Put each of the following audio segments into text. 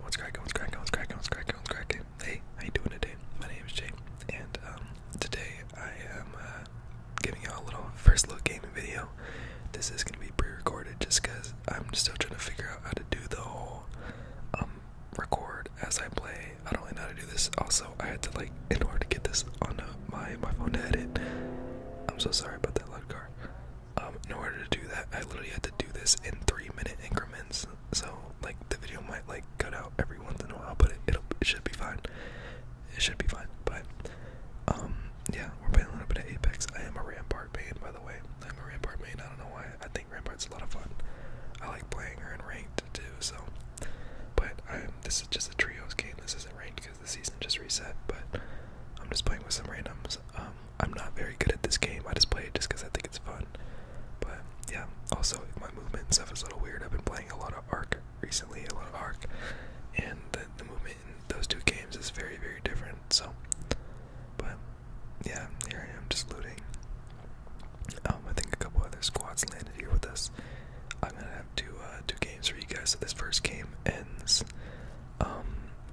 What's cracking? What's cracking? What's cracking? What's cracking? What's cracking? Hey, how you doing today? My name is Jay, and um, today I am uh, giving you a little first look gaming video. This is gonna be pre-recorded just because I'm still trying to figure out how to do the whole um record as I play. I don't really know how to do this. Also, I had to like in order to get this on uh, my my phone to edit. I'm so sorry about that loud car. Um, in order to do that, I literally had to do this in three-minute increments. So, like, the video might like cut out every once in a while, but it will it should be fine. It should be fine. But, um, yeah, we're playing a little bit of Apex. I am a Rampart main, by the way. I'm a Rampart main. I don't know why. I think Rampart's a lot of fun. I like playing her in ranked too. So, but I'm, this is just a trios game. This isn't ranked because the season just reset. But I'm just playing with some randoms. Um, I'm not very good at this game. I just play it just because I think it's fun. But yeah, also my movement stuff is a little weird. I've been playing a lot of Arc recently, a lot of Arc, and the, movement in those two games is very, very different. So, but yeah, here I am just looting. Um, I think a couple other squads landed here with us. I'm gonna have two uh, two games for you guys. So this first game ends um,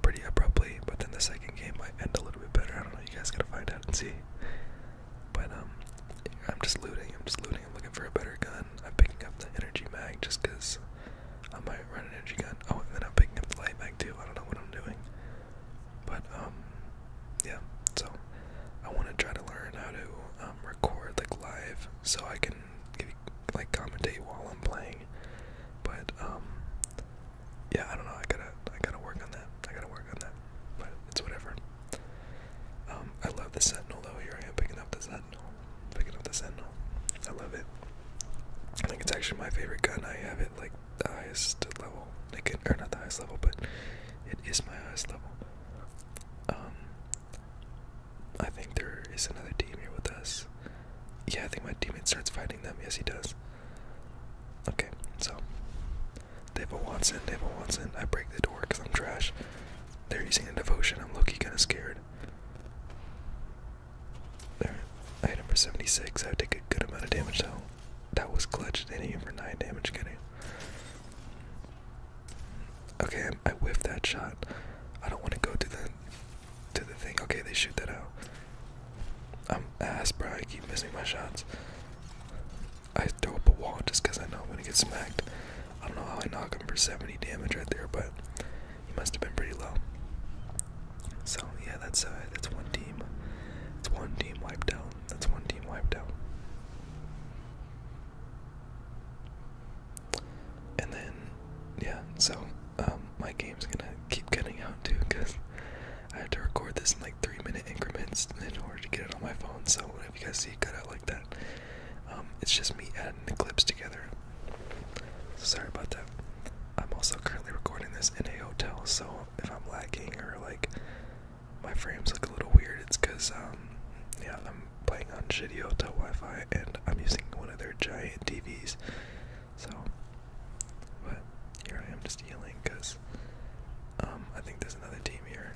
pretty abruptly. But then the second game might end a little bit better. I don't know. You guys gotta find out and see. But um, I'm just looting. I'm just looting. I'm looking for a better gun. I'm picking up the energy mag just because I might run an energy gun. Oh, and then I'm picking up the light mag too. I don't know what I'm doing. But um, yeah. So I want to try to learn how to um, record like live, so I can give, like commentate while I'm playing. But um, yeah, I don't know. I gotta, I gotta work on that. I gotta work on that. But it's whatever. Um, I love the Sentinel though. Here I am picking up the Sentinel. Picking up the Sentinel. I love it. I think it's actually my favorite gun. I have it like the highest level. Like, or not the highest level, but it is my highest level. Um, I think there is another team here with us. Yeah, I think my teammate starts fighting them. Yes, he does. Okay, so David have a Watson. They have Watson. I break the door because I'm trash. They're using a devotion. I'm low kind of scared. There, I hit him 76. I take a good amount of damage so That was clutch. They for nine damage. Getting. Okay, I whiffed that shot. I don't want to go to that to the thing. Okay, they shoot that out. I'm ass, bro. I keep missing my shots. I throw up a wall just because I know I'm going to get smacked. I don't know how I knock him for 70 damage right there, but he must have been pretty low. So, yeah, that's uh, that's one team. It's one team wiped out. That's one team wiped out. And then, yeah, so um, my game's gonna keep cutting out too because I have to record this in like three minute increments in order to get it on my phone. So if you guys see it cut out like that, um, it's just me adding the clips together. sorry about that. I'm also currently recording this in a hotel, so if I'm lagging or like my frames look a little weird, it's because um, yeah, I'm playing on shitty hotel Wi-Fi and I'm using one of their giant TVs. So, but here I am just yelling because um, I think there's another team here.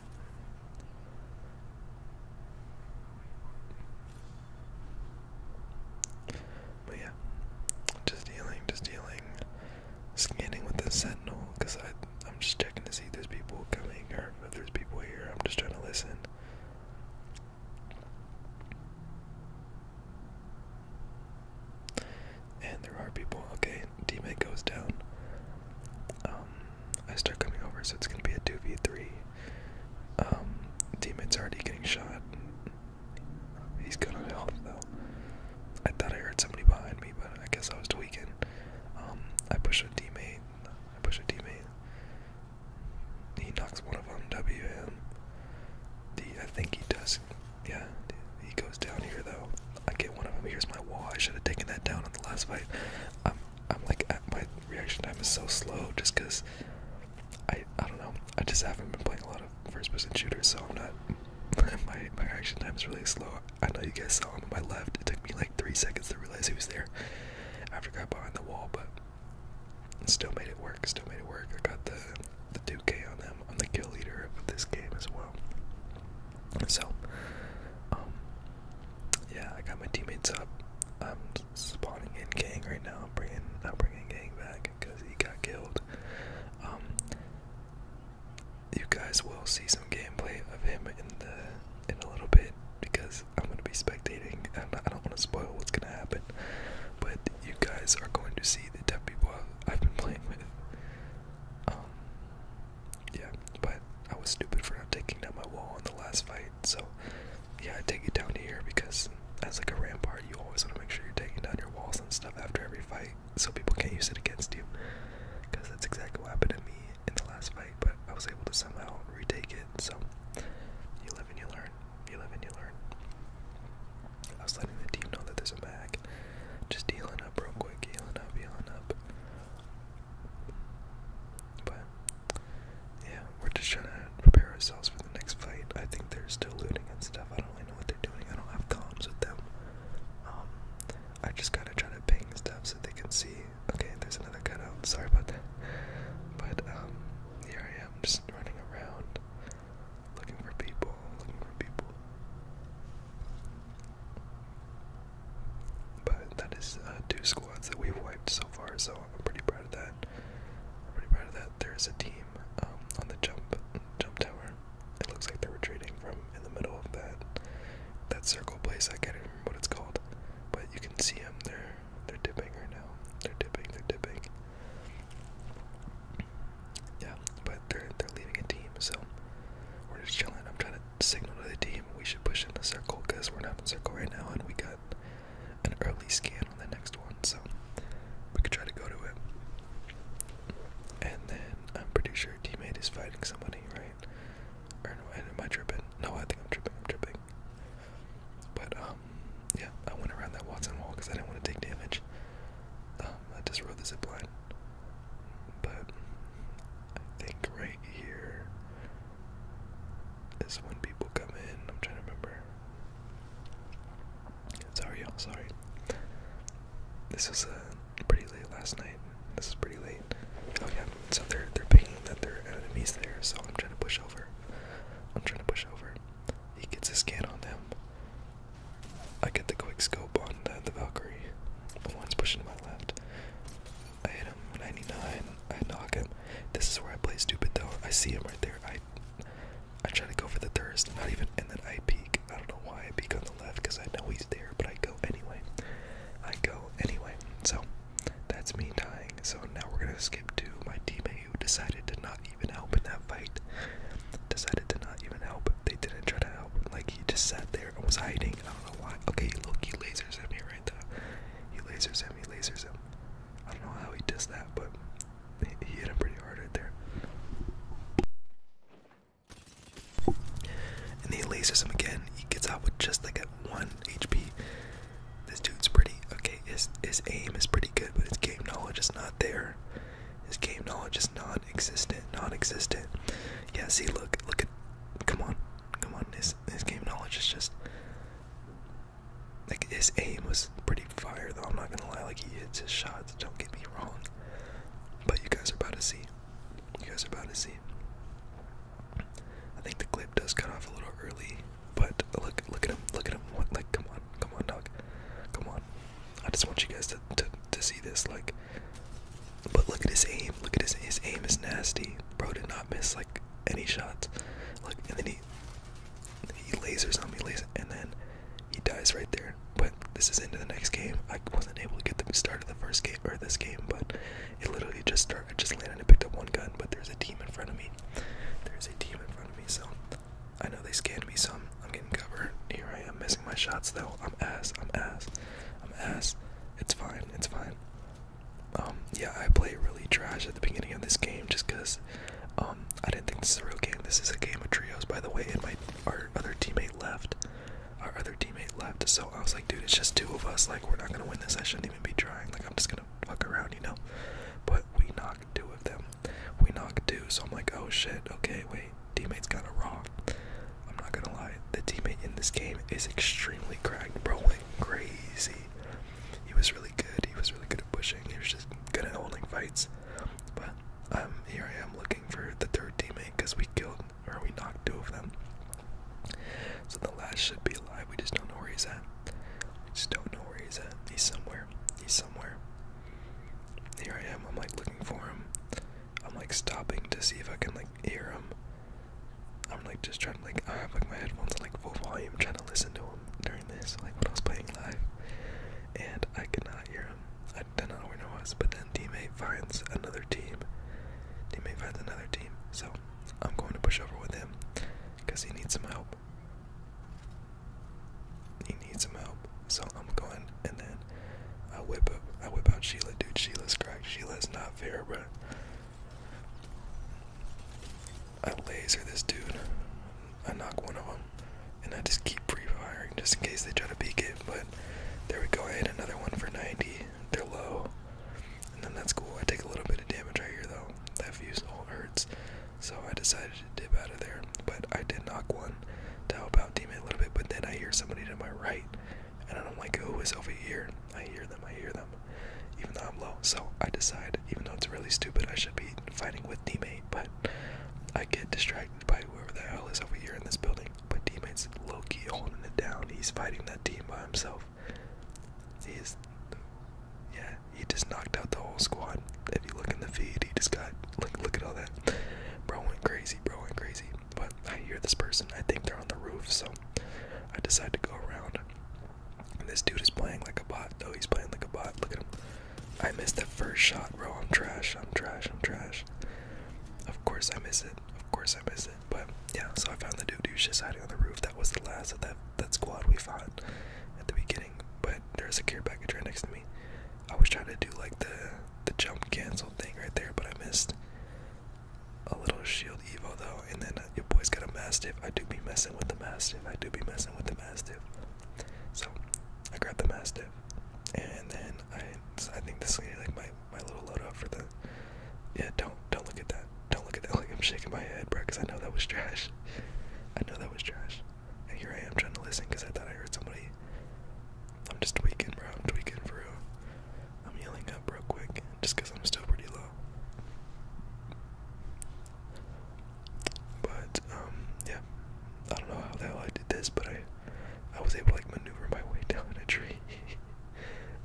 But yeah, just healing, just healing, scanning with the sentinel because I'm just checking to see if there's people coming or if there's people here. I'm just trying to listen. And there are people. Okay, teammate goes down. Um, I start coming over, so it's gonna be a two v three. Um, teammate's already getting shot. He's good on health though. I thought I heard somebody behind me, but I guess I was tweaking. Um, I push a teammate. I push a teammate. He knocks one of them, WM. The, I think he does. Yeah, he goes down here though. I get one of them. Here's my wall. I should have taken that down in the last fight. I'm, I'm like, uh, my reaction time is so slow just because I, I don't know. I just haven't been playing a lot of first-person shooters, so I'm not. my my reaction time is really slow. I know you guys saw him on my left. It took me like three seconds to realize he was there I forgot behind the wall, but and still made it work, still made it work. I got the the 2K on them. I'm the kill leader of this game as well. So, um, yeah, I got my teammates up. I'm spawning in gang right now. I'm bringing, I'm bringing gang back because he got killed. Um, you guys will see some gameplay of him in the in a little bit because I'm going to be spectating, and I don't want to spoil what's going to happen, but you guys are going to see the deaf people I've been playing with. Um, yeah, but I was stupid for not taking down my wall in the last fight, so yeah, I take it down here because as like a rampart, you always want to make sure you're taking down your walls and stuff after every fight, so people can't use it against you, because that's exactly what happened to me in the last fight, but I was able to somehow retake it, so you live and you learn you live and you learn. I was letting the team know that there's a mag. Just healing up real quick, healing up, healing up. But yeah, we're just trying to prepare ourselves for the next fight. I think they're still looting and stuff. I don't really know what they're doing. I don't have comms with them. Um, I just kind of try to ping stuff so they can see. Okay, there's another cutout. Sorry about that. But um, here i am, just running around looking for people, looking for people. But that is uh, two squads that we've wiped so far, so I'm pretty proud of that. pretty proud of that. There's a team um, on the jump jump tower. It looks like they're retreating from in the middle of that that circle place. I can't remember what it's called, but you can see them. there. They're dipping right now. They're dipping. They're dipping. Yeah, but they're they're leaving a team, so we're just chilling. I'm trying to signal to the team we should push in the circle because we're not in circle right now, and we got an early scan on the next one, so we could try to go to it. And then I'm pretty sure teammate is fighting somebody, right? Or am I tripping? No, I think I'm tripping. I'm tripping. But um, yeah, I went around that Watson wall because I didn't want to take damage. Um, I just rode the zip line. But I think right here is when people come in. I'm trying to remember. Sorry, y'all. Sorry. This was uh, pretty late last night. This is pretty late. Oh yeah. So they're they're pinging that their enemies there. So I'm trying to push over. I'm trying to push over. He gets his scan on them. I get the quick scope on the, the Valkyrie. The one's pushing to my left. I hit him 99. I knock him. This is where I play stupid though. I see him right there. I I try to go for the thirst, not even, and then I peek. I don't know why I peek on the left because I know he's there, but I go anyway. I go anyway. So that's me dying. So now we're gonna skip to my teammate who decided to not even help in that fight. Decided to not even help. They didn't try to help. Like he just sat there and was hiding. I don't know why. Okay, look, he lasers at me right there. He lasers him. He lasers him. I don't know how he does that, but he hit him pretty hard right there. And he lasers him again. He gets out with just like a one HP. This dude's pretty okay. His his aim is pretty good, but his game knowledge is not there. His game knowledge is non-existent, non-existent. Yeah, see, look, look at, come on, come on. His his game knowledge is just like his aim was pretty fire, though. I'm not gonna lie, like he hits his shots. Don't get me wrong, but you guys are about to see. You guys are about to see. I think the clip does cut off a little early, but look, look at him, look at him. What, like, come on, come on, dog, come on. I just want you guys to, to to see this, like. But look at his aim. Look at his his aim is nasty. Bro did not miss like any shots. Look, and then he he lasers on me, laser, and then he dies right there. But this is into the next game. I wasn't able to get the start of the first game or this game, but it literally just started. just landed and picked up one gun, but there's a team in front of me. There's a team in front of me, so I know they scanned me, Some I'm, getting covered. Here I am missing my shots, though. I'm ass. I'm ass. I'm ass. It's fine. It's fine. Um, yeah, I play really trash at the beginning of this game just because um, I didn't think this was a real game. This is a game of trios, by the way, and my our other teammate left. Our other teammate left, so I was like, dude, it's just two of us. Like, we're not gonna win this. I shouldn't be trying. Like I'm just gonna fuck around, you know. But we knocked two of them. We knocked two, so I'm like, oh shit. Okay, wait. Teammates got it raw. I'm not gonna lie. The teammate in this game is extremely cracked, bro. crazy. He was really good. He was really good at pushing. He was just good at holding fights. But um, here I am looking for the third teammate because we killed or we knocked two of them. So the last should be alive. We just don't know where he's at. We just don't know where he's at. He's somewhere. He's somewhere. Here I am. I'm like looking for him. I'm like stopping to see if I can like hear him. I'm like just trying to like I have like my headphones on like full volume trying to listen to him during this like when I was playing live, and I could not hear him. I don't know where he was, but then teammate finds another team. Teammate finds another team. So I'm going to push over with him because he needs some help. He needs some help, so I'm going and then I whip up. I whip out Sheila, dude. Sheila's cracked. Sheila's not fair, bro. I laser this dude. I knock one of them, and I just keep pre-firing just in case they try to peek it. But there we go. I hit another one for 90. They're low. And then that's cool. I take a little bit of damage right here though. That fusil hurts. So I decided to dip out of there. But I did knock one to help out teammate a little bit. But then I hear somebody to my right. And I'm like, who is over here? I hear them, I hear them. Even though I'm low. So I decide, even though it's really stupid, I should be fighting with teammate, but I get distracted by whoever the hell is over here in this building. But teammate's low-key holding it down. He's fighting that team by himself. He's, yeah, he just knocked out the whole squad. If you look in the feed, he just got look look at all that. Bro went crazy, bro went crazy. But I hear this person. I think they're on the roof, so I decide to go around. And this dude is playing like a bot, though. He's playing like a bot. Look at him. I missed that first shot, bro. I'm trash. I'm trash. I'm trash. Of course I miss it of course I missed it. But yeah, so I found the dude who just hiding on the roof. That was the last of that that squad we fought at the beginning. But there's a care package right next to me. I was trying to do like the the jump cancel thing right there, but I missed a little shield evo though. And then uh, your boy's got a mastiff. I do be messing with the mastiff. I do be messing with the mastiff. So I grabbed the mastiff, and then I I think this is like my my little load for the. Yeah, don't don't look at that. Don't look at that. Like I'm shaking my head, bro, because I know that was trash. I know that was trash. And here I am trying to listen because I thought I heard somebody. I'm just tweaking, bro. I'm tweaking for real. I'm yelling up real quick just because I'm still pretty low. But um, yeah, I don't know how the hell I did this, but I, I was able like maneuver my way down a tree.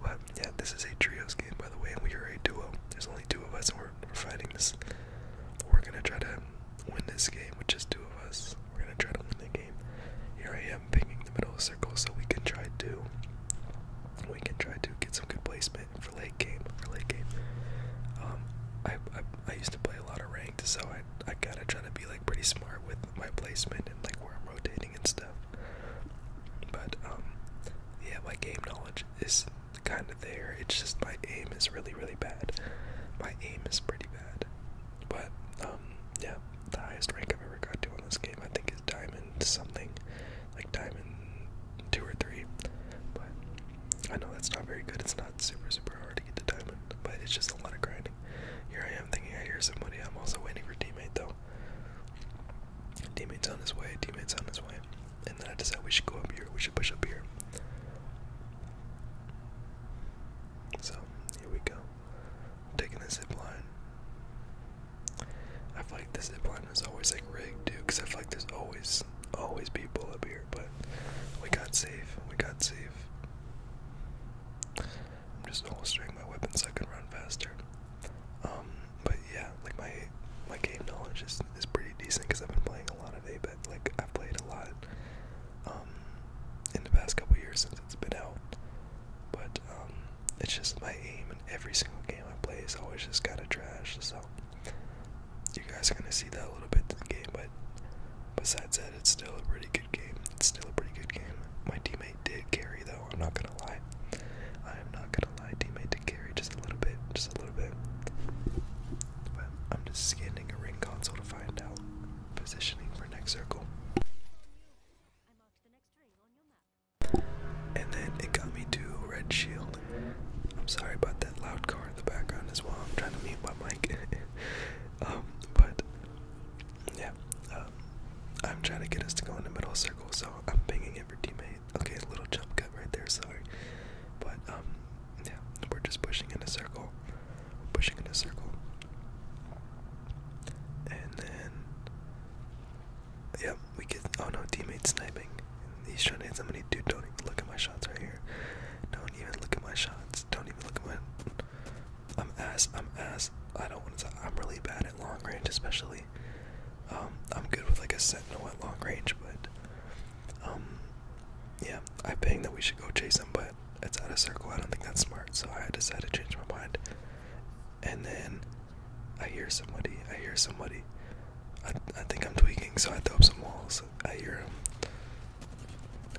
But yeah, this is a trios game, by the way, and we are a duo. There's only two of us, and we're, we're fighting this. We're gonna try to win this game with just two of us. We're gonna try to win the game. Here I am pinging the middle of circle, so we can try to we can try to get some good placement for late game. For late game, um, I, I I used to play a lot of ranked, so I I gotta try to be like pretty smart with my placement and like where I'm rotating and stuff. But um, yeah, my game knowledge is kind of there. It's just my aim is really, really bad. My aim is pretty bad. But um, yeah, the highest rank I've ever got to on this game, I think, is diamond something, like diamond two or three. But I know that's not very good. It's not super, super hard to get to diamond, but it's just a lot of grinding. Here I am thinking I hear somebody. I'm also waiting for teammate though. Teammate's on his way. Teammate's on his way. And then I decide we should go up here. We should push up here. So here we go. taking the zip line. I feel like this zip line is always like rigged dude. because I feel like there's always, always people up here. But we got safe. We got safe. I'm just holstering my weapons so I can run faster. Um, but yeah, like my my game knowledge is is pretty decent because I've been playing a lot of Abet. Like I've played a lot um, in the past couple years since it's been out. But um, it's just my aim in every single game I play is always just kind of trash. So you guys are gonna see that a little bit in the game. But besides that it's still a pretty good game. It's still a pretty good game. My teammate did carry, though. I'm not gonna lie. I am not gonna lie. Teammate did carry just a little bit, just a little bit. But I'm just scanning a ring console to find out positioning for next circle. And then it got me to red shield. I'm sorry about that loud car in the background as well. I'm trying to mute my mic. um, but yeah, um, I'm trying to get us to go in the middle circle, so I'm pinging every teammate. Okay, a little jump cut right there, sorry. But, um, yeah, we're just pushing in a circle. We're pushing in a circle. And then, yep, we get, oh no, teammate sniping. He's trying to hit somebody. Dude, don't even look at my shots right here. Don't even look at my shots. Don't even look at my. I'm ass. I'm ass. I don't want to. I'm really bad at long range, especially. Um, I'm good with like a sentinel at long range, but um, yeah, I think that we should go chase him, but it's out of circle. I don't think that's smart, so I decided to change my mind. And then I hear somebody. I hear somebody. I, I think I'm tweaking, so I throw up some walls. I hear him,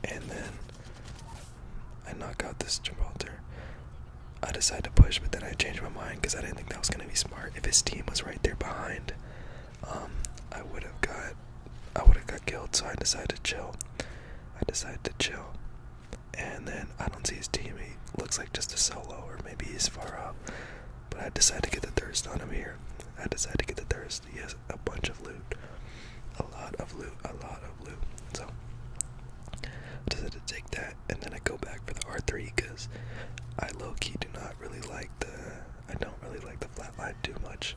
and then I knock out this Gibraltar. I decided to push, but then I changed my mind because I didn't think that was gonna be smart. If his team was right there behind, um, I would have got, I would have got killed. So I decided to chill. I decided to chill, and then I don't see his team. He looks like just a solo, or maybe he's far off. But I decided to get the thirst on him here. I decided to get the thirst. Yes, a bunch of loot. A lot of loot, a lot of loot. So I decided to take that and then I go back for the R3 because I low key do not really like the I don't really like the flatline too much.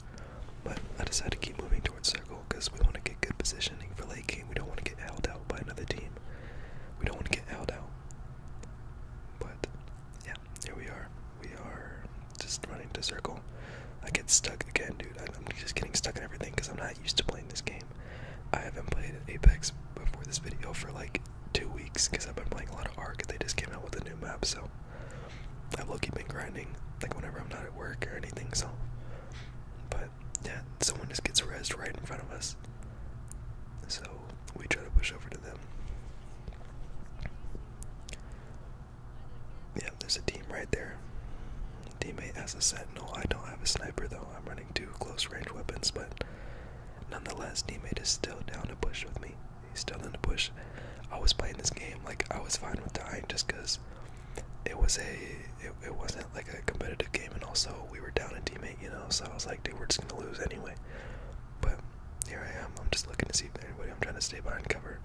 But I decided to keep moving towards circle because we want to get good positioning for late game. We don't want to get held out by another team. We don't want to get held out. But yeah, here we are. We are just running to circle. I get stuck again, dude. I'm just getting stuck in everything because I'm not used to playing this game. I haven't played Apex before this video for like two weeks because I've been playing a lot of Ark. They just came out with a new map, so i will keep key grinding like whenever I'm not at work or anything. So, but yeah, someone just gets rezzed right in front of us, so we try to push over to them. Yeah, there's a team right there. Teammate has a sentinel. I don't have a sniper though. I'm running two close range weapons, but nonetheless, teammate is still down to bush with me. He's still in the bush. I was playing this game like I was fine with dying just because it was a it, wasn't like a competitive game, and also we were down a teammate, you know. So I was like, dude, we're just gonna lose anyway. But here I am. I'm just looking to see if anybody. I'm trying to stay behind cover.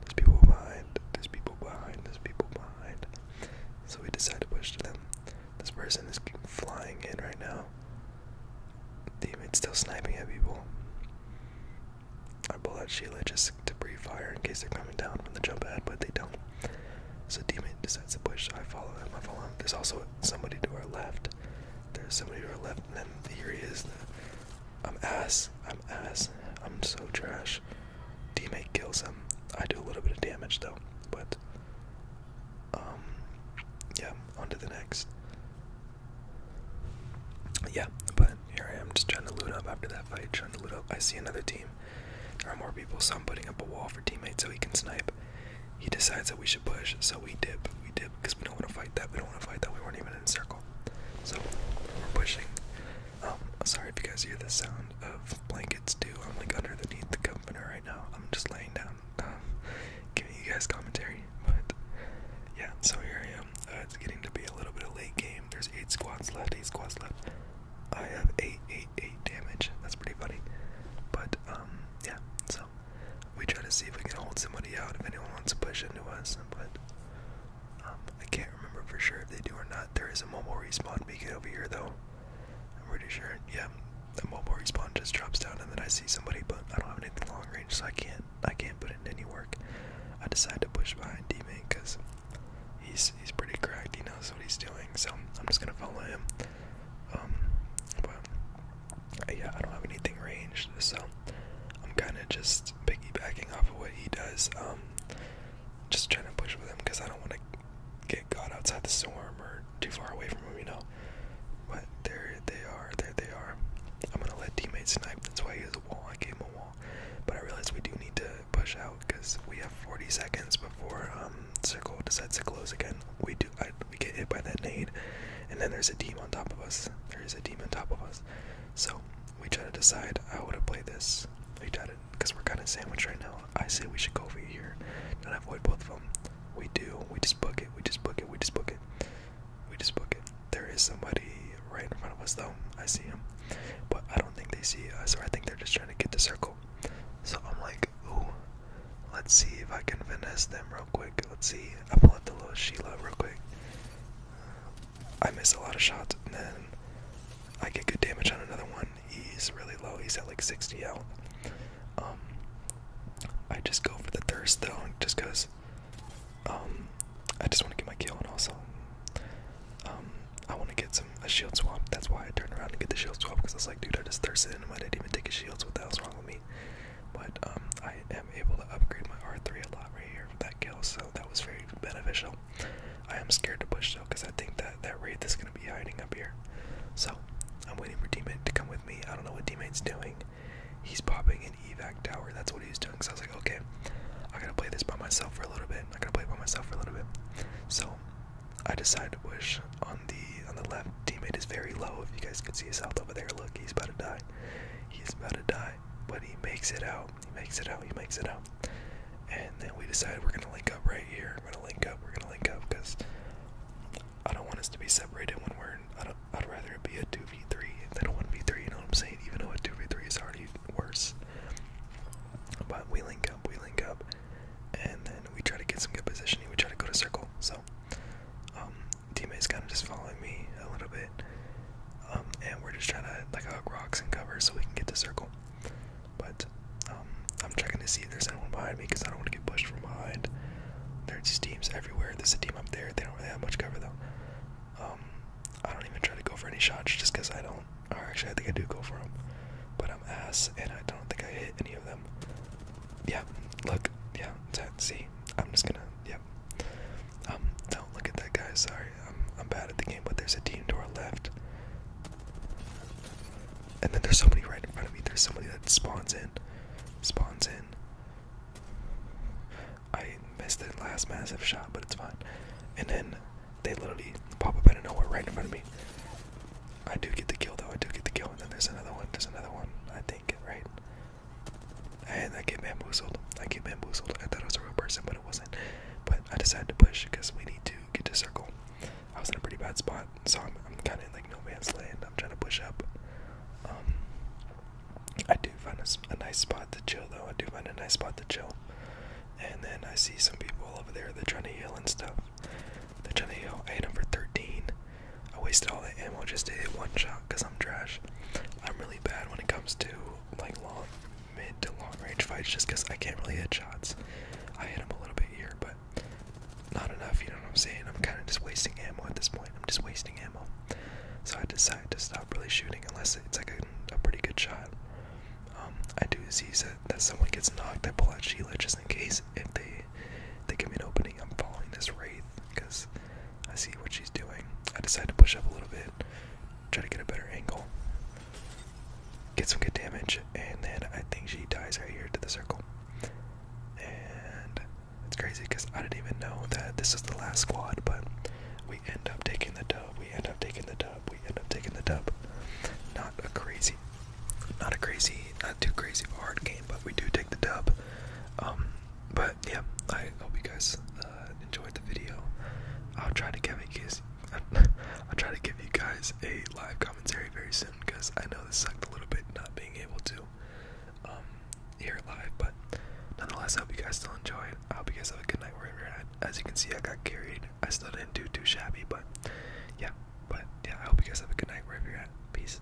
There's people behind. There's people behind. There's people behind. So we decide to push to them. This person is flying in right now. Demon it's still sniping at people. I pull out Sheila just to brief fire in case they're coming down from the jump pad, but they don't. So Demon decides to push. I follow them. I follow him. There's also somebody to our left. There's somebody to our left, and then here he is. I'm ass. I'm ass. I'm so trash. Teammate kills him. I do a little bit of damage though, but um, yeah. On to the next. Yeah, but here I am just trying to loot up after that fight. Trying to loot up. I see another team. There are more people, so I'm putting up a wall for teammates so he can snipe. He decides that we should push, so we dip. We dip because we don't want to fight that. We don't want to fight that. We weren't even in a circle. So we're pushing. Um, sorry if you guys hear the sound of blankets too. I'm like underneath the comforter right now. I'm just laying down, um, giving you guys commentary. But yeah, so here I am. Uh, it's getting to be a little bit of late game. There's eight squads left. Eight squads left. I have eight, eight, eight damage. That's pretty funny. But um, yeah. So we try to see if we can hold somebody out. If anyone wants to push into us, but um, I can't remember for sure if they do or not. There is a mobile respawn beacon over here, though. I'm pretty sure. Yeah, the mobile respawn just drops down, and then I see somebody, but I don't have anything long range, so I can't. I can't put in any work. I decide to push behind D-man because he's he's pretty cracked. He knows what he's doing, so I'm just gonna follow him. Um, but yeah, I don't have anything ranged, so I'm kind of just piggybacking off of what he does. Um, just trying to push with him because I don't want to get caught outside the storm or too far away from him, you know. But there they are, there they are. I'm gonna let teammates snipe. That's why he has a wall. I gave him a wall, but I realize we do need to push out because we have 40 seconds before um, circle decides to close again. We do. I, we get hit by that nade, and then there's a team on top of us. There is a team on top of us. So we try to decide how we're going to play this. We try it because we're kind of sandwiched right now. I say we should go over here and avoid both of them. We do. We just book it. We just book it. We just book it. We just book it. There is somebody right in front of us though. I see him, but I don't think they see us, or I think they're just trying to get the circle. So I'm like, ooh, let's see if I can finesse them real quick. Let's see. I pull up the little Sheila real quick. I miss a lot of shots, and then I get good damage on another one. He's really low. He's at like 60 health. Um, I just go for the thirst though, just cause um, I just want to get my kill, and also um, I want to get some a shield swap. That's why I turn around and get the shield swap, cause it's like, dude, I just thirsted, and I didn't even take a shield. So what the hell's wrong with me? but um, I am able to upgrade my R3 a lot right here for that kill, so that was very beneficial. I am scared to push though, because I think that that wraith is going to be hiding up here. So I'm waiting for teammate to come with me. I don't know what teammate's doing. He's popping an evac tower. That's what he's doing. So I was like, okay, I gotta play this by myself for a little bit. I gotta play by myself for a little bit. So I decided to push on the on the left. Teammate is very low. If you guys can see his health over there, look, he's about to die. He's about to die but he makes it out. He makes it out. He makes it out. And then we decide we're gonna link up right here. We're gonna link up. We're gonna link up because I don't want us to be separated when we're. I don't, I'd rather it be a two v three than a one v three. You know what I'm saying? Even though a two v three is already worse. But we link up. We link up, and then we try to get some good positioning. We try to go to circle. So, um, teammate's kind of just following me a little bit. Um, and we're just trying to like hug rocks and cover so we can get the circle. But um, I'm checking to see if there's anyone behind me because I don't want to get pushed from behind. There's teams everywhere. There's a team up there. They don't really have much cover though. Um, I don't even try to go for any shots just because I don't. Or actually, I think I do go for them. But I'm ass and I don't think I hit any of them. Yeah, look. Yeah, see? I'm just gonna Yep. Um, no, look at that guy. Sorry, I'm, bad at the game, but there's a team to our left. And then there's somebody right in front of me. There's somebody that spawns in. Spawns in. I missed the last massive shot, but it's fine. And then they literally pop up out of nowhere right in front of me. I do get the kill, though. I do get the kill. And then there's another one. There's another one, I think, right? And I get bamboozled. I get bamboozled. I thought I was a real person, but it wasn't. But I decided to push because we need to get to circle. I was in a pretty bad spot, so I'm, kind of in like no man's land. I'm trying to push up. Um, I do find a, nice spot to chill, though. I do find a nice spot to chill. And then I see some people over there. They're trying to heal and stuff. They're trying to heal. I hit them 13. I wasted all the ammo just to hit one shot because I'm trash. I'm really bad when it comes to like long, mid to long range fights just because I can't really hit shots. I hit them a little bit here, but not enough, you know what I'm saying? I'm kind of just wasting ammo at this point. I'm just wasting ammo. So I decide to stop really shooting unless it's like a, pretty good shot. Um, I do see that, that someone gets knocked. I pull out Sheila just in case if they they give me an opening, I'm following this Wraith because I see what she's doing. I decide to push up a little bit, try to get a better angle, get some good damage, and then I think she dies right here to the circle. And it's crazy because I didn't even know that this was the last squad, but we end up taking the dub, we end up taking the dub, we end up taking the dub. Not a crazy, not a crazy, not too crazy hard game, but we do take the dub. Um, but yeah, I hope you guys uh, enjoyed the video. I'll try to give guys, I'll try to give you guys a live commentary very soon because I know this sucked a little bit not being able to um, here live. But nonetheless, I hope you guys still enjoy. I hope you guys have a good night wherever you're at. As you can see, I got carried. I still didn't do too shabby, but yeah, but yeah, I hope you guys have a good night wherever you're at. Peace.